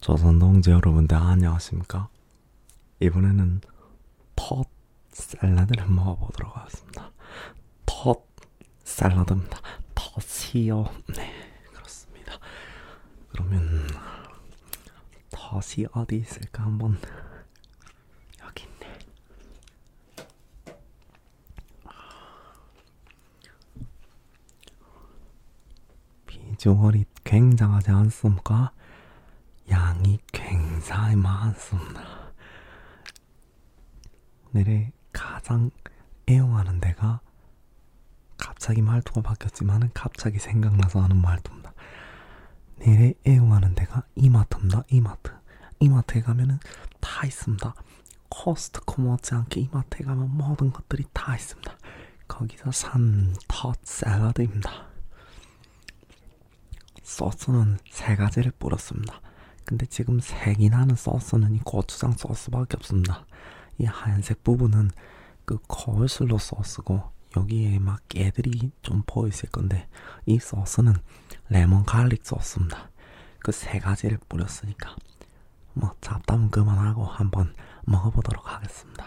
조선동지 여러분들 아, 안녕하십니까? 이번에는 텄 샐러드를 먹어보도록 하겠습니다. 텄 샐러드입니다. 텄이요. 네, 그렇습니다. 그러면 텄이 어디 있을까 한번 여기 있네. 비주얼이 굉장하지 않습니까? 양이 굉장히 많습니다. 오늘의 가장 애용하는 데가 갑자기 말투가 바뀌었지만은 갑자기 생각나서 하는 말투입니다. 내래 애용하는 데가 이마트입니다. 이마트. 이마트에 가면은 다 있습니다. 코스트코 못지않게 이마트에 가면 모든 것들이 다 있습니다. 거기서 산텃 샐러드입니다. 소스는 세 가지를 뿌렸습니다. 근데 지금 색이 나는 소스는 이 고추장 소스밖에 없습니다. 이 하얀색 부분은 그 거울슬로 소스고 여기에 막 깨들이 좀 보이실 건데 이 소스는 레몬 갈릭 소스입니다. 그 세 가지를 뿌렸으니까 뭐 잡담은 그만하고 한번 먹어보도록 하겠습니다.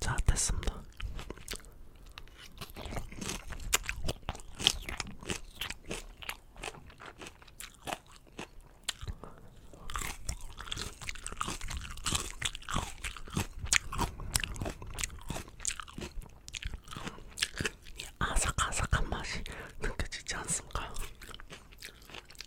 자 됐습니다. 이 아삭아삭한 맛이 느껴지지 않습니까?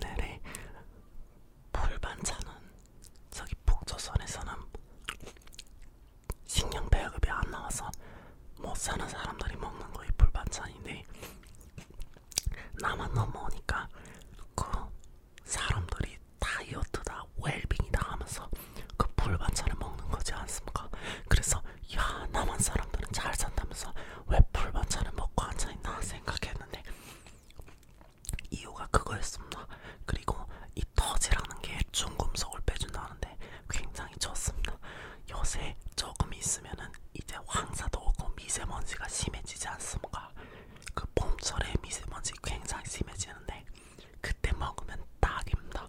네네 불반찬은 저기 북조선에서는 신경 배급이 안 나와서 못 사는 사람들이 먹는 거이 불반찬인데 나만 넘어오니까 그 사람들이 다이어트다 웰빙이다 하면서 그 불반찬을 먹는 거지 않습니까? 그래서 야 남한 사람들은 잘 산다면서 왜 불만차를 먹고 앉아있나 생각했는데 이유가 그거였습니다. 그리고 이 터지라는 게 중금속을 빼준다는데 굉장히 좋습니다. 요새 조금 있으면은 이제 황사도 오고 미세먼지가 심해지지 않습니까? 그 봄철에 미세먼지 굉장히 심해지는데 그때 먹으면 딱입니다.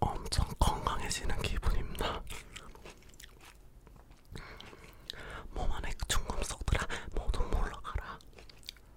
엄청 건강해지는 기분입니다. 몸 안에 중금 썩더라 모두 물러가라.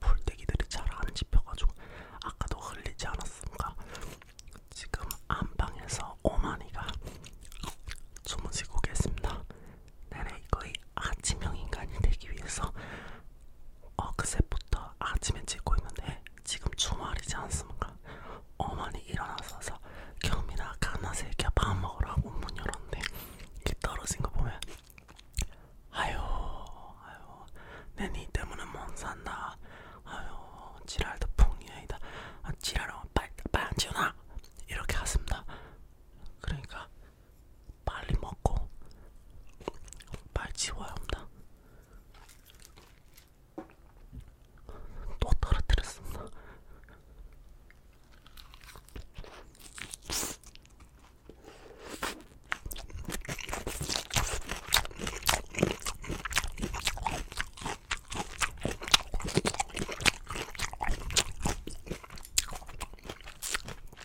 볼때기들이 잘 안 집혀가지고 아까도 흘리지 않았습니까? 지금 안방에서 오마니가 주무시고 계십니다. 내내 거의 아침형 인간이 되기 위해서 어그새부터 아침에 찍고 있는데 지금 주말이지 않습니까? 어머니 일어나서서 경민아 가나새끼야 밥 먹으라고 문 열었는데 이게 떨어진 거 보면 아유 아유 내니 때문에 못 산다 아유 지랄도 풍이야이다 아, 지랄하면 빨리 빨리 안 지워놔 이렇게 하십니다 그러니까 빨리 먹고 빨리 지워야 합니다. 또 떨어뜨렸습니다.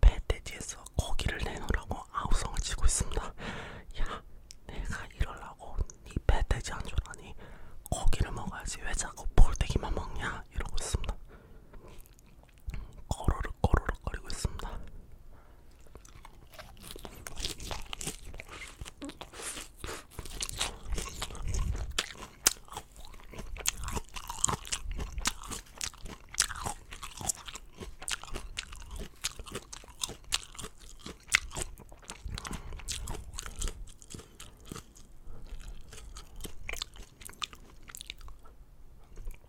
배돼지에서 고기를 내놓으라고 아우성을 치고 있습니다. 야, 내가 이럴라고 이 배돼지 한줄 아니 고기를 먹어야지 왜 자꾸 볼때기만 먹냐 이러고 있습니다. 거르륵 거르륵 거리고 있습니다.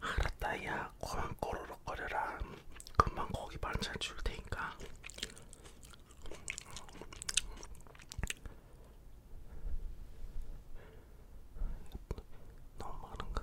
알았다 야 그만 꼬르륵거려라 금방 고기 반찬 줄 테니까 너무 많은가?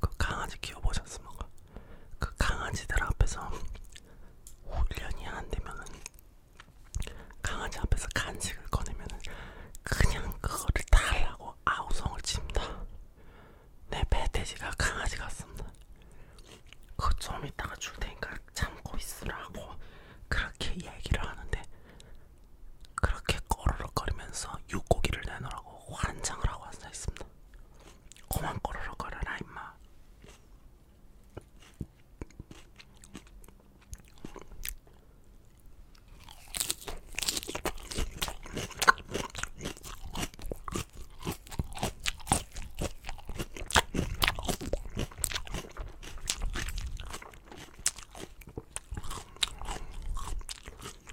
그 강아지 키워보셨습니까? 그 강아지들 앞에서 1년이 안 되면은 강아지 앞에서 간식을 꺼내면은 그냥 그거를 달라고 아우성을 칩니다. 내 배돼지가 강아지 같습니다. 그좀 이따가 줄 테니까 참고 있으라고 그렇게 얘기를 하는데 그렇게 꼬르륵거리면서 육고기를 내놓으라고 환장을 하고 앉아있습니다. 고만 꼬르륵거려라 임마.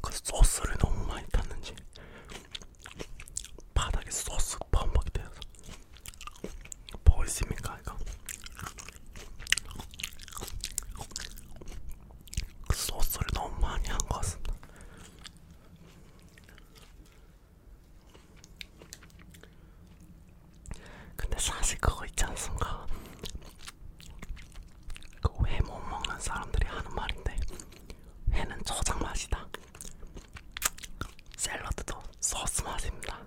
그 소스를 너무 많이 탔는지 바닥에 소스 범벅이 되어서 보이십니까 이거 그 소스를 너무 많이 한 것 같습니다. 근데 사실 그거 있지 않습니까? 그회못 먹는 사람들이 하는 말인데 회는 저장 맛이다. 샐러드도 소스 맛입니다.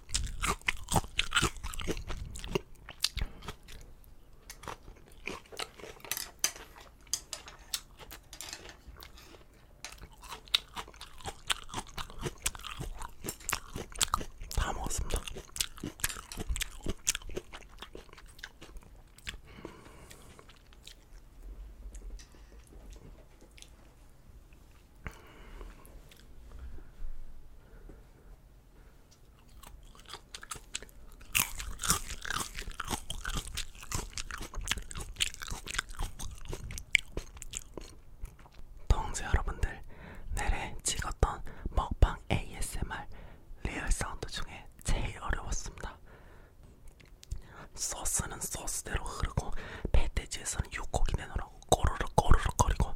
다 먹었습니다. 동지 여러분들 내래 찍었던 먹방 ASMR 리얼 사운드 중에 제일 어려웠습니다. 소스는 소스대로 흐르고 배돼지에서는 육고기 내놓으라고 꼬르륵 꼬르륵 거리고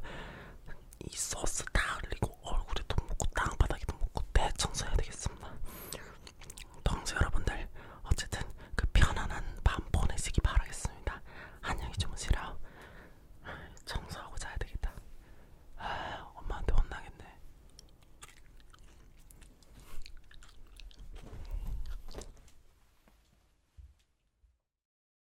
이 소스 다 흘리고 얼굴에도 묻고 땅바닥에도 묻고 대청소해야 되겠습니다. 동수 여러분들 어쨌든 그 편안한 밤 보내시기 바라겠습니다. 안녕히 주무시라. 청소하고 자야 되겠다. 아, 엄마한테 혼나겠네.